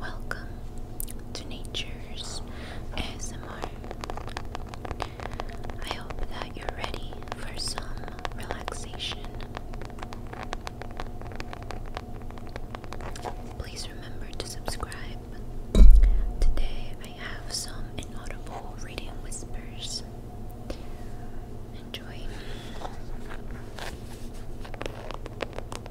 Welcome to Nature's ASMR. I hope that you're ready for some relaxation. Please remember to subscribe. Today I have some inaudible reading whispers. Enjoy. I'll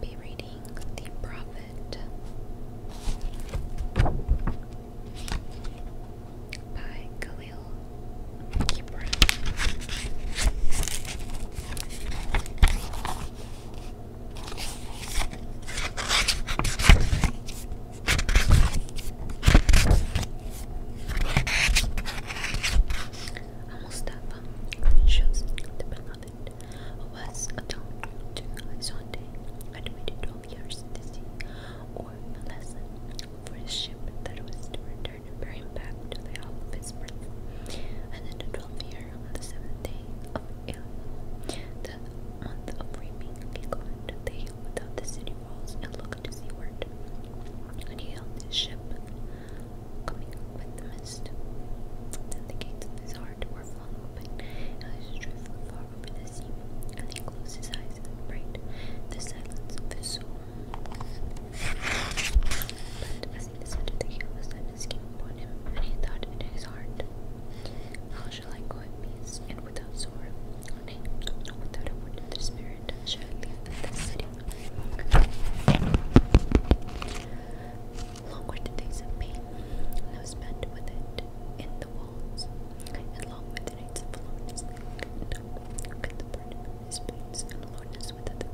be reading The Prophet by Khalil Gibran. Mustafa shows the beloved was atoned to Zonte, admitted 12 years to sea or a for his ship that was to return remember back to the hall of his birth. And in the twelfth year, on the seventh day of Elul, the month of reaping, he climbed the hill without the city walls and looked to seaward. And he held his ship, coming with the mist. Then the gates of his heart were flung open, and his truth far over the sea. And he closed his eyes and prayed, the silence of his soul. But as he descended the hill, sadness came upon him, and he thought in his heart, How shall I go in peace and without sorrow? Nay, without a word spirit, shall I leave this city? Long were the days of pain that spent with it in the walls, and long were the nights of loneliness. No, the burden of his pains and loneliness without a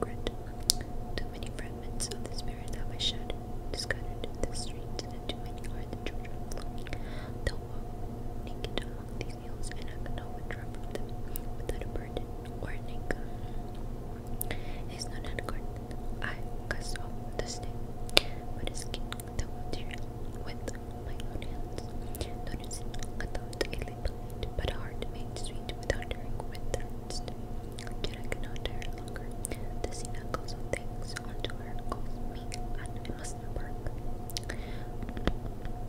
Too many fragments of the spirit have I shattered, scattered in the streets, and too many are the children flowing. They'll walk naked among these hills, and I cannot withdraw from them without a burden or an anchor. It is not an I cast off the snake, but a skin the material with my own hands. Noticing, I thought a bullet, but a heart made sweet without drink with thirst. Yet I cannot dare longer. The scene echoes of things unto her calls me, and I must embark.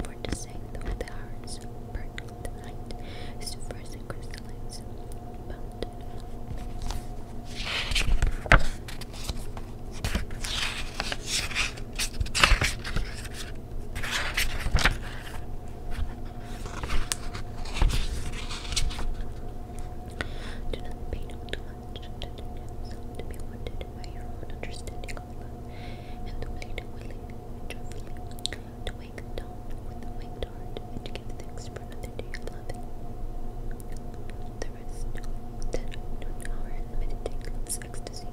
For the sake of the hours, burn the night, supers and do not pay too much attention to be wanted by your own understanding of love, and the way to willingly and joyfully to wake down with a waked heart and to give thanks for another day of loving. The rest then an hour in meditating love's ecstasy,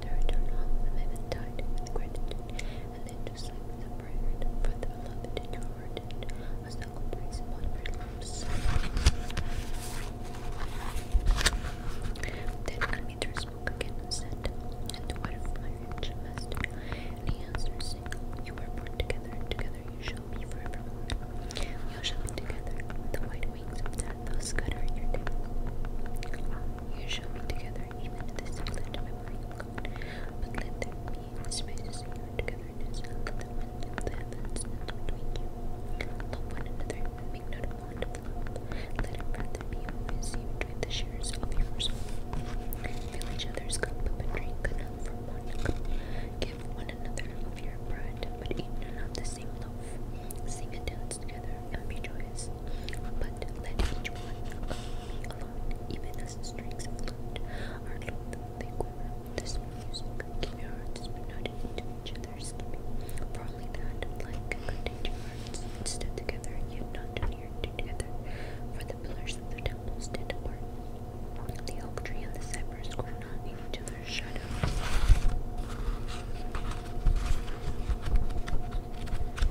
the return home and the died with gratitude and then to sleep with a for the beloved in your heart, as the God brings upon your lips. Then Anmeter spoke again and said, And what of my rich he answered, were born together, together you shall be forevermore. You shall be together, the white wings of death will scatter your day. You shall be together, even this silent memory code, but let there be spaces in your togetherness, and let the wind of the heavens not between you. Love one another, and make not a bond of love. Let it rather be always you between the shares of your soul. Fill each other's cup, but drink enough from one cup. Give one another of your bread, but eat none of the same loaf. Sing a tale together and be joyous. But let each one of be alone, even as the strings of flute are loth, they This music, keep your hearts united into each other's keeping. For only that, like, contain hearts, stood together, yet not too near together. For the pillars of the temple stand apart. The oak tree and the cypress grow not in each other's shadows find another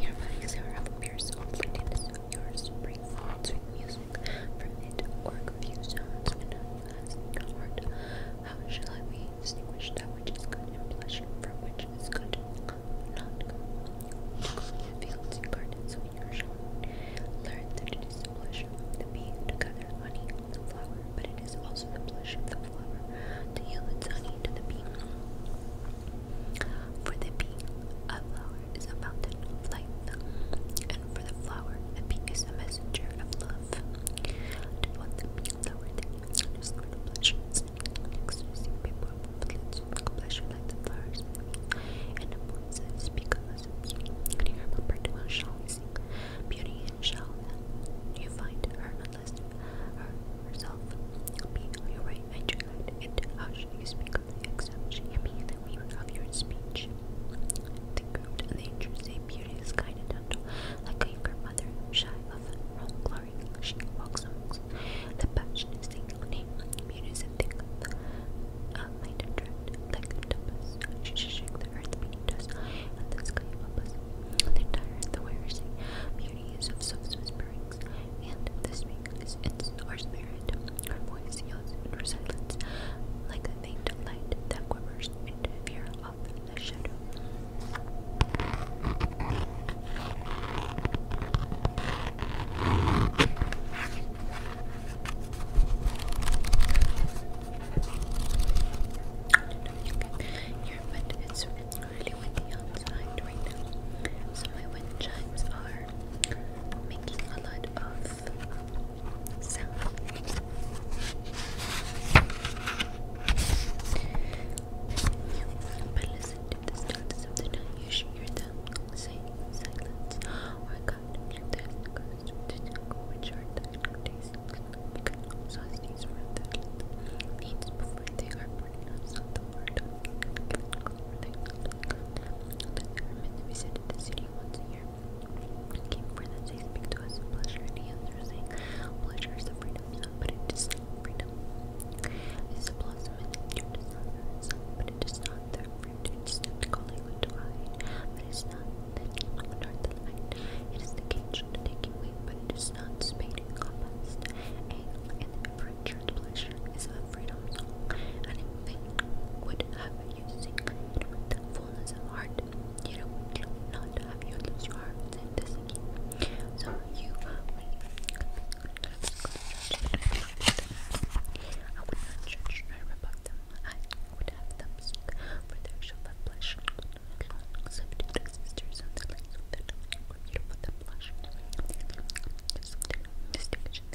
Your bodies are up, your soul, pretend so yours, sweet music from it or confused sounds enough as the How shall I distinguish that which is good and pleasant which is good not good? The fields and gardens when you are Learn that it is the blush the bee to gather honey on the flower, but it is also the blush the flower to yield its honey to the bee. For the bee, a flower is a fountain of life and for the flower, the pink is the messenger of love. To what the pink flower that is the pleasure, next to see people with pleasure like the flowers, and the points that speak of us, and you remember to well shall beauty and shall you find her unless herself be your right and your guide, and how should you speak of the exception, you be the weaver of your speech. The curved and the intrusive beauty is kind and gentle, like a younger mother, shy of wrong glory. She walks amongst the passionate thing on him. Beauty is a thing of the uh, and like the tempest. She should the earth beneath us and the sky above us. the entire the wearer say, beauty is of soft whisperings, and this ring is its, our spirit, our voice, yells, and our silence, like faint light that quivers into fear of the shadow. I don't really windy outside right now. So my wind chimes are making a lot of so but listen to the stillness of the night. You shake your thumb, silence. Or oh God, let the ghost to know which are the days because sausages for the needs before they are burning up. So the word given over the that are meant to be said in the city once a year. Keep for that they speak to us pleasure, and he answers, saying, Pleasure is a freedom but it is freedom. It is a blossom in the sun, but it is not their It is not the calling with divine, but it is not the light. It is the cage and the away, but it is not spade and And the adventure, pleasure is a freedom and in would have using it with the fullness of heart. You don't have your heart in this again. So you I would not judge nor rebuke them. I would have them seek for their shall but blush. Accept sisters and the lights of their beautiful the blush. Distinction